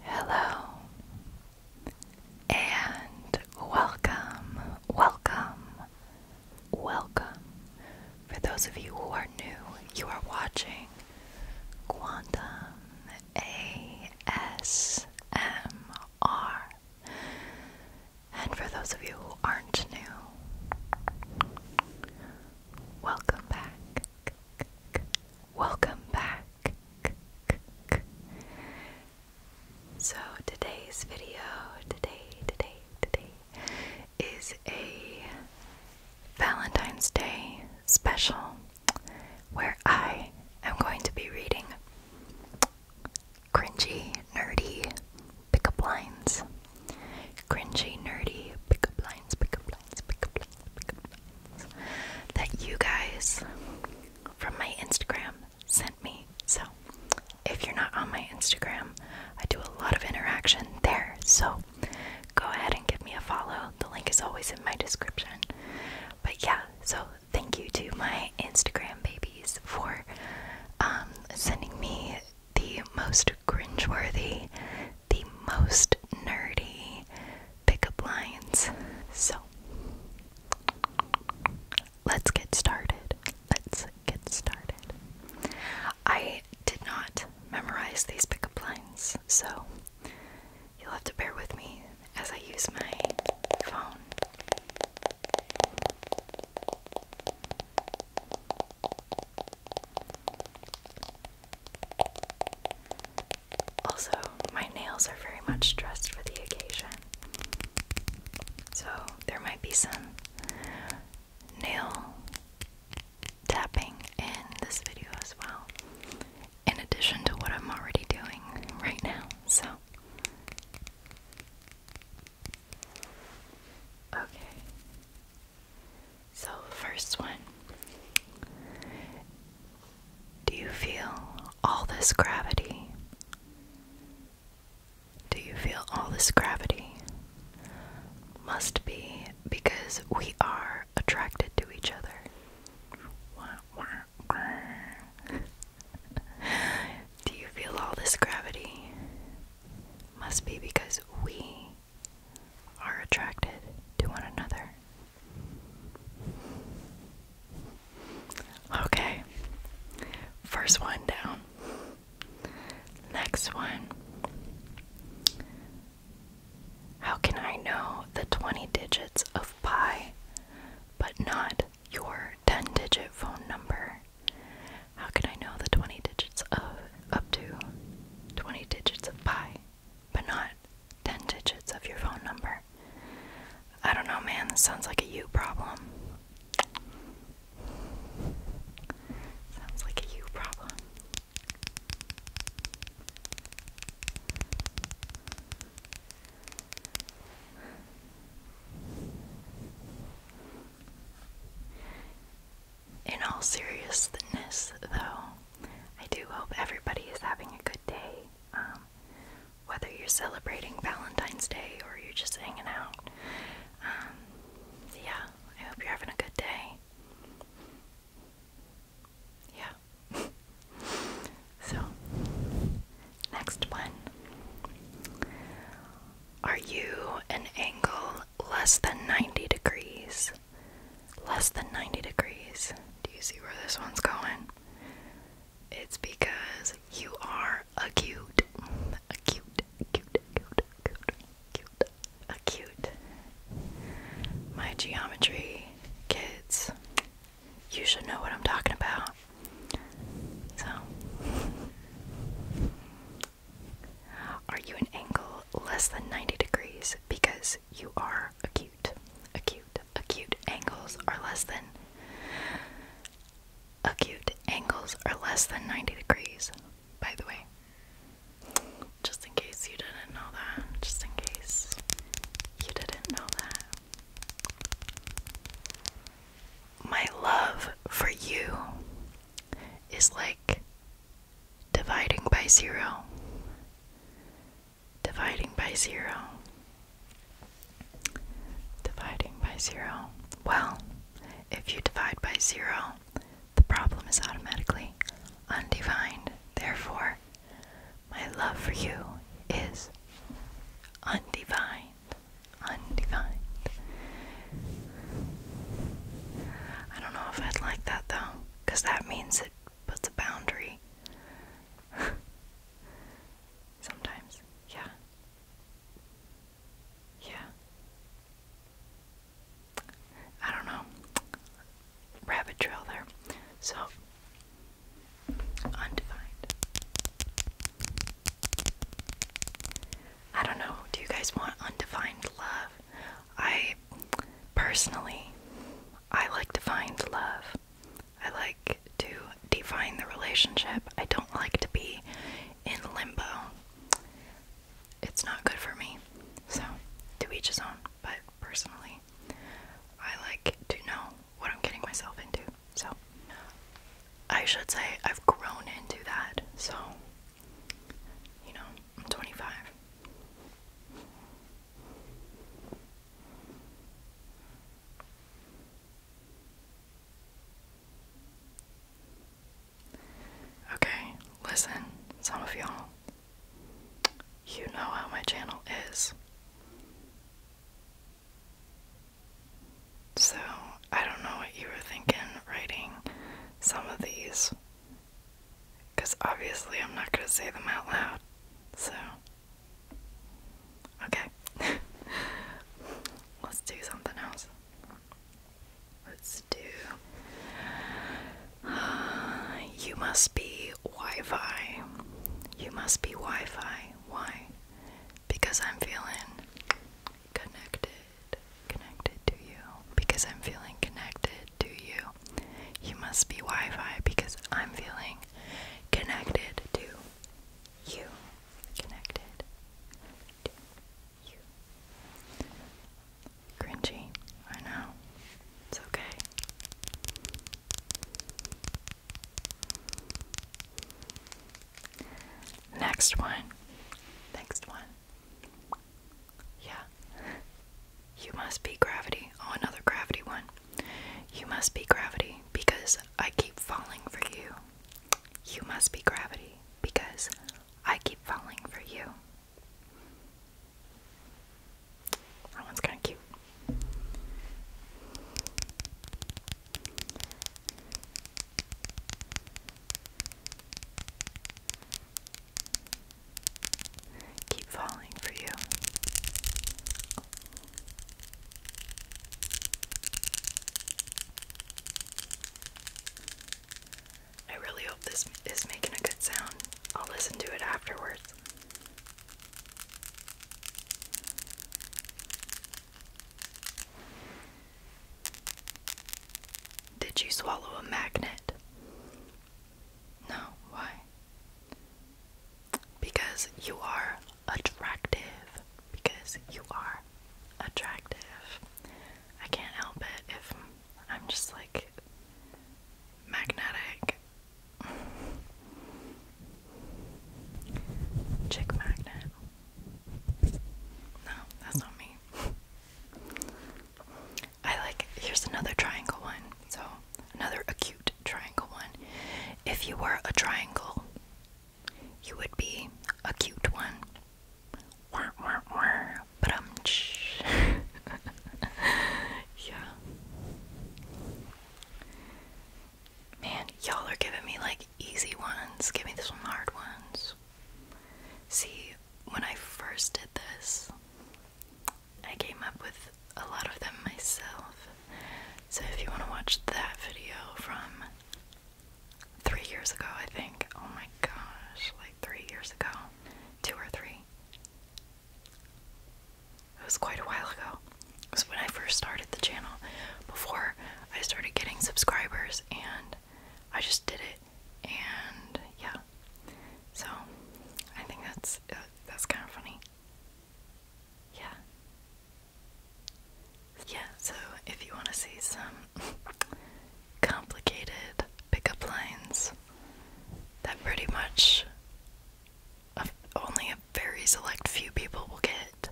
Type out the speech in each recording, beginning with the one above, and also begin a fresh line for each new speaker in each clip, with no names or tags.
Hello and welcome, welcome, welcome. For those of you who are new, you are watching Quantum ASMR. And for those of you who aren't new, welcome back. Welcome back. So today's video, today, today, today, is a Valentine's Day special where I am going to be reading cringy, nerdy pickup lines cringy, nerdy pickup lines, pickup lines, pickup lines, pickup lines that you guys from my Instagram sent me. So, if you're not on my Instagram, I do a lot of interaction there. So, go ahead and give me a follow. The link is always in my description. But yeah, so thank you to my Instagram babies for um, sending me the most cringeworthy, the most nerdy pickup lines. So let's get started. Let's get started. I did not memorize these pickup lines, so you'll have to bear with me as I use my phone. Also, my nails are very much dressed for the occasion. So, there might be some nail tapping in this video as well, in addition to what I'm already doing right now. So, okay, so, first one Do you feel all this gravity? Do you feel all this gravity? Must be because we are attracted to each other. Do you feel all this gravity? Must be because we are attracted to one another. Okay, first one down. Next one. How can I know the 20 digits of pi but not your 10 digit phone number? How can I know the 20 digits of up to 20 digits of pi, but not 10 digits of your phone number. I don't know, man, this sounds like a you problem. Sounds like a you problem in all seriousness, though, I do hope everybody is having a good day. Um, whether you're celebrating Valentine's Day or you're just hanging out, um, yeah, I hope you're having a good day. Yeah. so, next one. Are you an angle less than 90 degrees? less than 90 degrees. Do you see where this one's going? It's because you are acute. Acute, acute, acute, acute, acute, My geometry kids, you should know what I'm talking about. So, are you an angle less than 90 degrees? Because you are acute. Acute. Acute angles are less than. Acute angles are less than 90 degrees, by the way. Just in case you didn't know that. Just in case you didn't know that. My love for you is like dividing by zero, dividing by zero, dividing by zero. Well, if you divide by zero, the problem is automatically undefined. Therefore, my love for you is undefined. Undefined. I don't know if I'd like that though, because that means it puts a boundary. Sometimes, yeah. Yeah. I don't know. Rabbit trail there. So, undefined. I don't know. Do you guys want undefined love? I personally I like to find love. I like to define the relationship. I don't like to be in limbo. It's not good for me. So, to each his own, but personally, I like to know what I'm getting myself into. So, I should say I've grown into that. So, you know, 25. Okay, listen, some of y'all. You know how my channel is. So, I don't know what you were thinking writing some of these because obviously I'm not going to say them out loud. So, okay. Let's do something else. Let's do. you must be Wi Fi. You must be Wi Fi. Why? Because I'm feeling connected connected to you because I'm feeling connected to you. You must be Wi Fi because I'm feeling connected to you. Connected to you. Cringy, I know. It's okay. Next one. Next one. Yeah. You must be gravity. Oh, another gravity one. You must be gravity because I keep falling for you. You must be gravity because I keep falling for you. That one's kind of cute. Keep falling for you. I really hope this is making a good sound. I'll listen to it afterwards. Did you swallow a magnet? No, why? Because you are attractive. Because you are attractive. I can't help it if I'm just like magnetic. Chick magnet. No, that's not me. I like, here's another triangle one. So, another acute triangle one. If you were a triangle, you would be a cute one. Wah, wah, wah. yeah. Man, y'all are giving me like easy ones. Give me some hard ones. See, when I first did this, I came up with a lot of them myself. So if you want to watch that video from three years ago, I think. Oh my gosh, like three years ago. Two or three. It was quite a while ago. It was when I first started the channel, before I started getting subscribers and I just did it, and yeah. So I think that's uh, that's kind of funny. Yeah. Yeah, so if you want to see some complicated pickup lines that pretty much only a very select few people will get,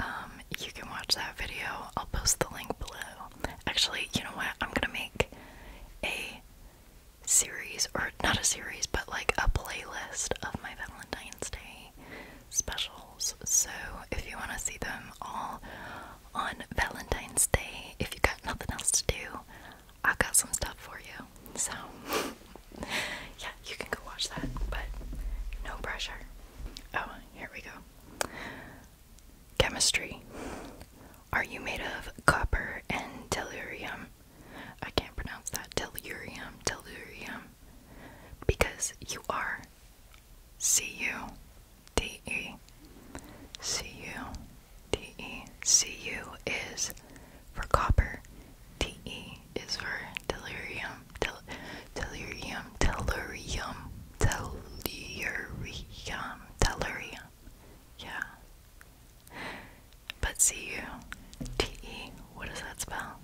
um, you can watch that video. I'll post the link below. Actually, you know what? I'm gonna make a series, or not a series, but like a playlist of my Valentine's Day specials. So if you wanna see them all on Valentine's Day, if you got nothing else to do, I've got some stuff for you. So yeah, you can go watch that, but no pressure. Oh, here we go. Chemistry. Are you made of copper and delirium? I can't pronounce that. Delirium. Delirium. Because you are. C U D E. C U D E. C U is for copper. D e is for delirium. Delirium, delirium, delirium, delirium. Yeah. But C U T E. What does that spell?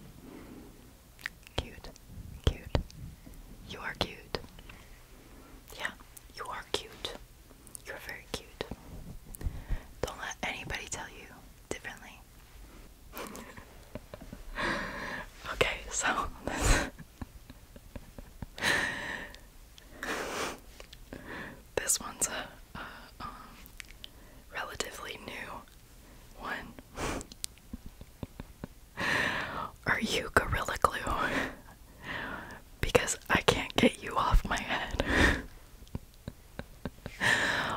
Cute. Cute. You are cute. Yeah, you are cute. You're very cute. Don't let anybody tell you differently. okay, so this one's a, um, relatively new one. Are you Gorilla Glue? because I can't get you off my head.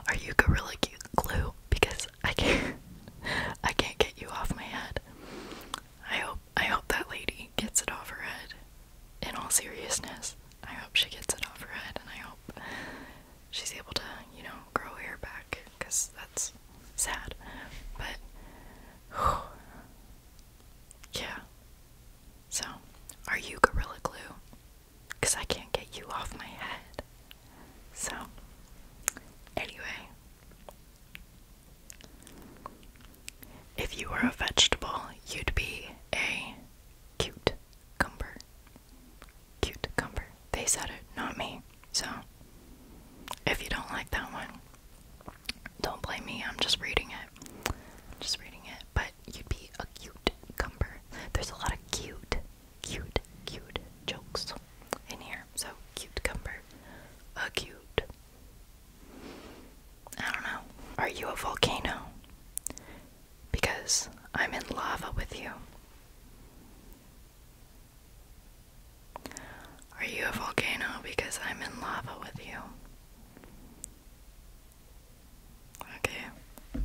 Are you Gorilla Glue? Because I can't, I can't get you off my head. I hope I hope that lady gets it off her head. In all seriousness, I hope she gets it off her head, and I hope she's able to, you know, grow hair back, because that's sad. But yeah. So, are you gorilla glue? Because I can't get you off my head. So, anyway, if you were a vegetable, you'd be a cute cumber. Cute cumber. They said it, not me. So, if you don't like that one, don't blame me. I'm just reading it. just reading it. But you'd be a cute cumber. There's a lot of cute, cute, cute jokes in here. So cute Acute. I don't know. Are you a volcano? Because I'm in lava with you. Are you a volcano? Because I'm in lava with you. Okay.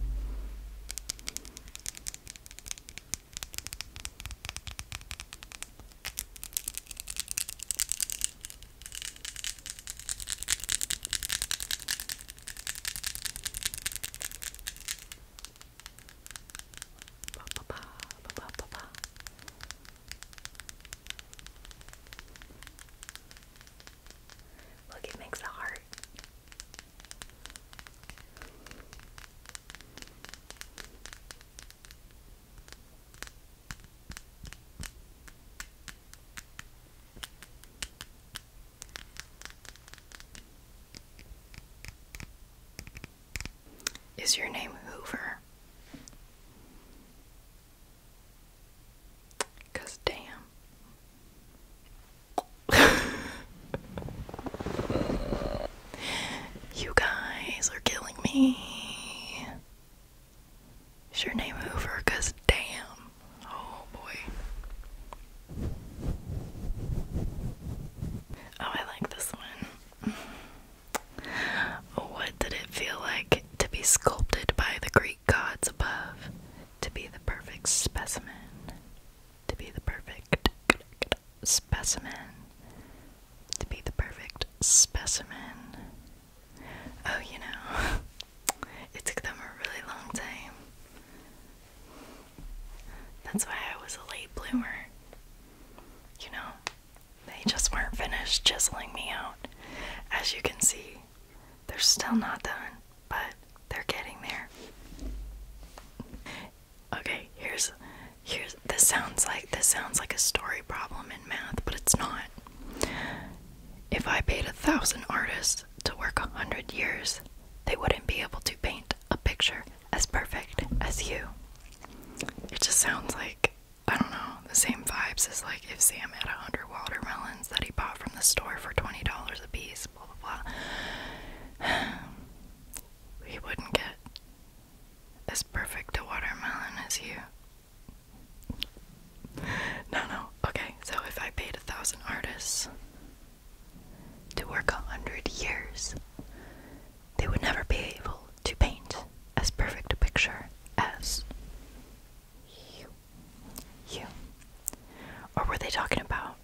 Ba, ba, ba, ba, ba, ba, ba. Look, it makes a heart. Is your name Hoover? Cause damn. You guys are killing me. Is your name Hoover? Cause damn. Oh boy. Oh, I like this one. What did it feel like to be sculpted by the Greek gods above? To be the perfect specimen. To be the perfect specimen. To be the perfect specimen. Oh, you know, it took them a really long time. That's why I was a late bloomer. You know, they just weren't finished chiseling me out. As you can see, they're still not done, but they're getting there okay, here's here's this sounds like this sounds like a story problem in math, but it's not. If I paid a thousand artists to work a hundred years, they wouldn't be able to paint a picture as perfect as you. It just sounds like I don't know, the same vibes as like if Sam had a hundred watermelons that he bought from the store for twenty dollars a piece, blah blah blah. He wouldn't get as perfect a watermelon as you. No, no. Okay, so if I paid a thousand artists to work a hundred years, they would never be able to paint as perfect a picture as you. You. Or were they talking about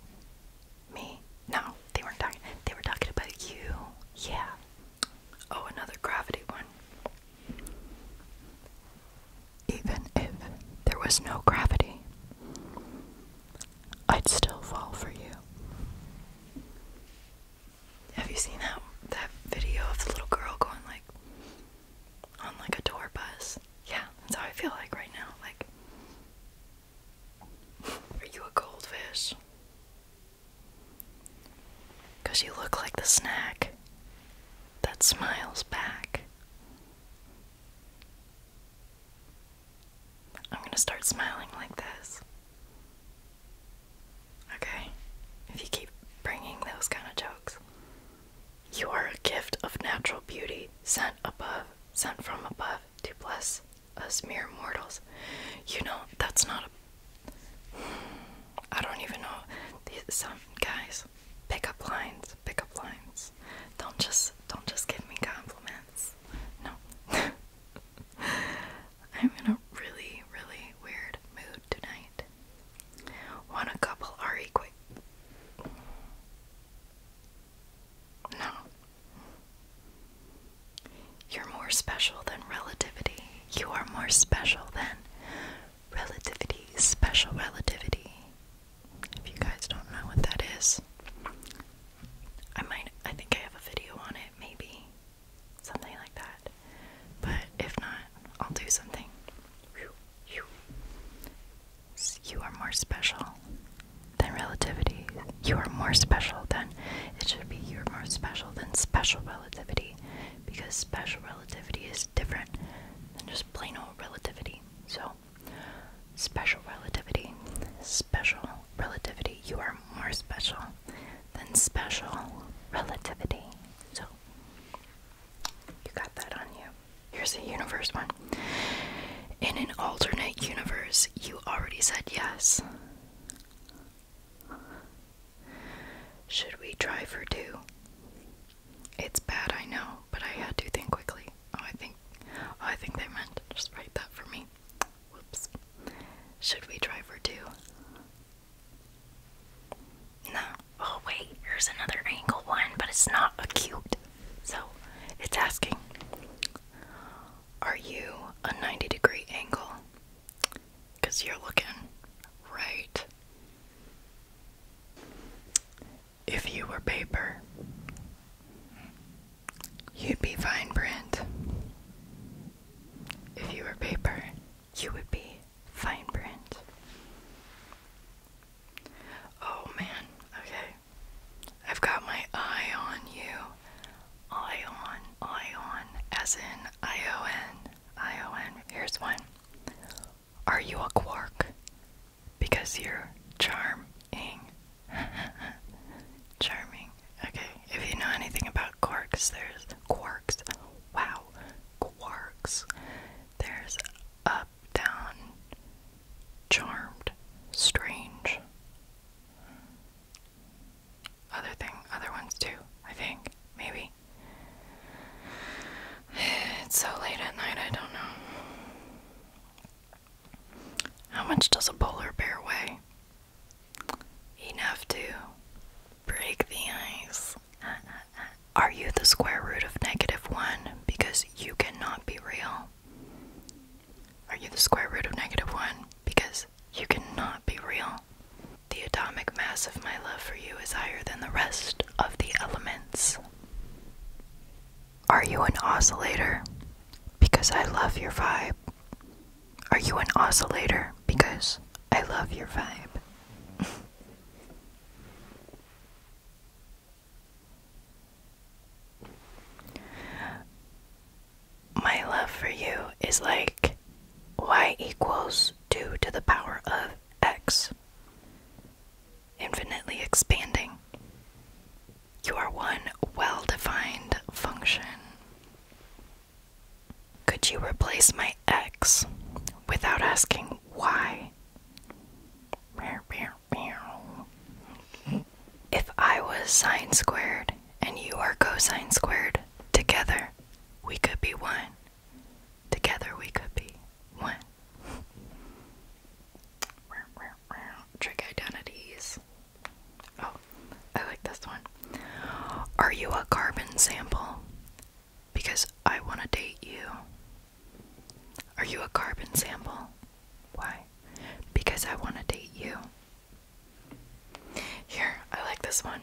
me? No, they weren't talking. They were talking about you. Yeah. Oh, another gravity one. Even if there was no gravity, I'd still fall for you. Have you seen that that video of the little girl going like on like a tour bus? Yeah, that's how I feel like right now. Like are you a goldfish? you look like the snack that smiles back. I'm going to start smiling like this. Okay? If you keep bringing those kind of jokes. You are a gift of natural beauty sent above, sent from above to bless us mere mortals. You know, that's not a. I don't even know. These, guys, pick lines, pick lines. Don't just, don't just give me compliments. No. I'm in a really, really weird mood tonight. Want a couple are equal? No, you're more special than relativity. You are more special than relativity. Special relativity. If you guys don't know what that is, I might, I think I have a video on it, maybe. Something like that. But if not, I'll do something. You are more special than relativity. You are more special than it should be. You're more special than special relativity because special relativity is different than just plain old relativity. So, special relativity, special relativity. You are more special than special relativity. So, you got that on you. Here's a universe one. In an alternate universe, you already said yes. Should we try for two? It's bad, I know, but I had to think quickly. Oh, I think, oh, I think they meant just write that for me. Whoops. Should we try for two? No. Oh wait, here's another angle one, but it's not acute. So, it's asking are you a 90 degree angle? Because you're looking right. If you were paper, you'd be fine print. If you were paper, you would be fine print. Oh man, okay. I've got my eye on you. Ion, ion, as in I O N, I O N. Here's one. Are you a quark? Because you're charming. charming. Okay, if you know anything about quarks, there's quarks. Wow, quarks. There's up, down, charmed, strange other thing, other ones too, I think. Maybe. It's so late at night, I don't know. How much does a polar bear weigh? Enough to break the ice. Are you the square root of negative one? Because you cannot be real. Are you the square root of negative 1? Because you cannot be real. The atomic mass of my love for you is higher than the rest of the elements. Are you an oscillator? Because I love your vibe. Are you an oscillator? Because I love your vibe. My love for you is like y equals 2 to the power of x, infinitely expanding. You are one well defined function. Could you replace my x without asking why? If I was sine squared and you are cosine squared, together we could be one. Together we could be one. Trick identities. Oh, I like this one. Are you a carbon sample? Because I want to date you. Are you a carbon sample? Why? Because I want to date you. Here, I like this one.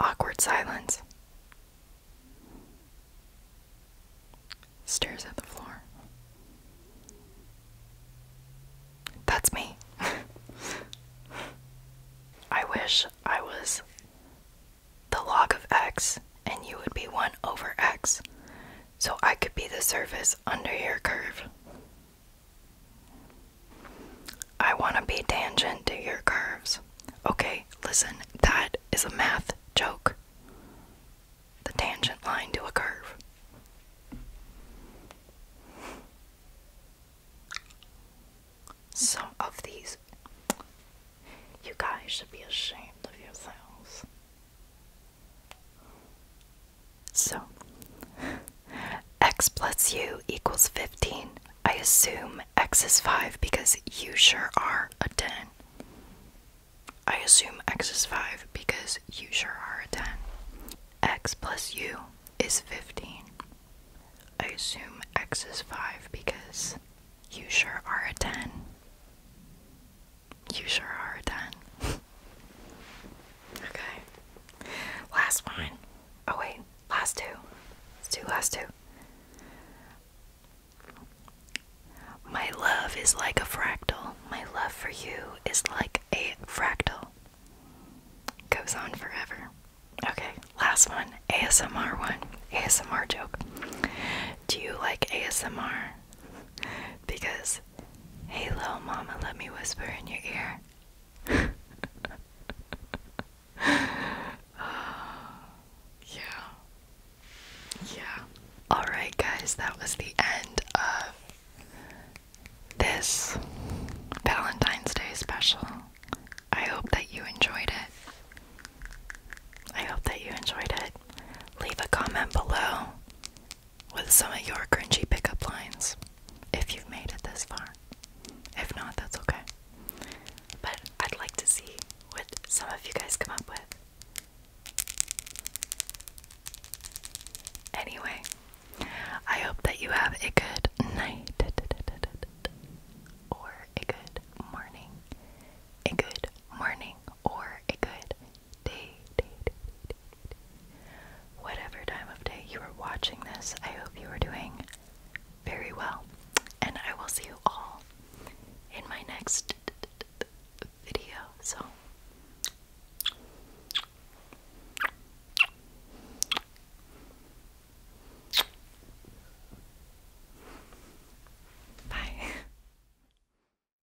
Awkward silence. Stares at the floor. That's me. I wish I was the log of x and you would be 1 over x so I could be the surface under your curve. I want to be tangent to your curves. Okay, listen, that is a math joke. The tangent line to a curve. Some of these. You guys should be ashamed of yourselves. So, x plus u equals 15. I assume x is 5 because you sure are a 10. I assume x is 5 because you sure are a 10. x plus u is 15. I assume x is 5 because you sure are a 10. You sure are done. okay. Last one. Oh, wait. Last two. Let's last two. My love is like a fractal. My love for you is like a fractal. Goes on forever. Okay, last one. ASMR one. ASMR joke. Do you like ASMR? because, hey, little mama, let me whisper in your ear. yeah. Yeah. Alright, guys, that was the end of this Valentine's Day special. I hope that you enjoyed it. I hope that you enjoyed it. Leave a comment below with some of your cringy pickup lines if you've made it this far. If not, that's okay. But I'd like to see what some of you guys come up with. Anyway, I hope that you have a good night, or a good morning, a good morning, or a good day, whatever time of day you are watching this, I hope you are doing very well. And I will see you all in my next video. So, bye.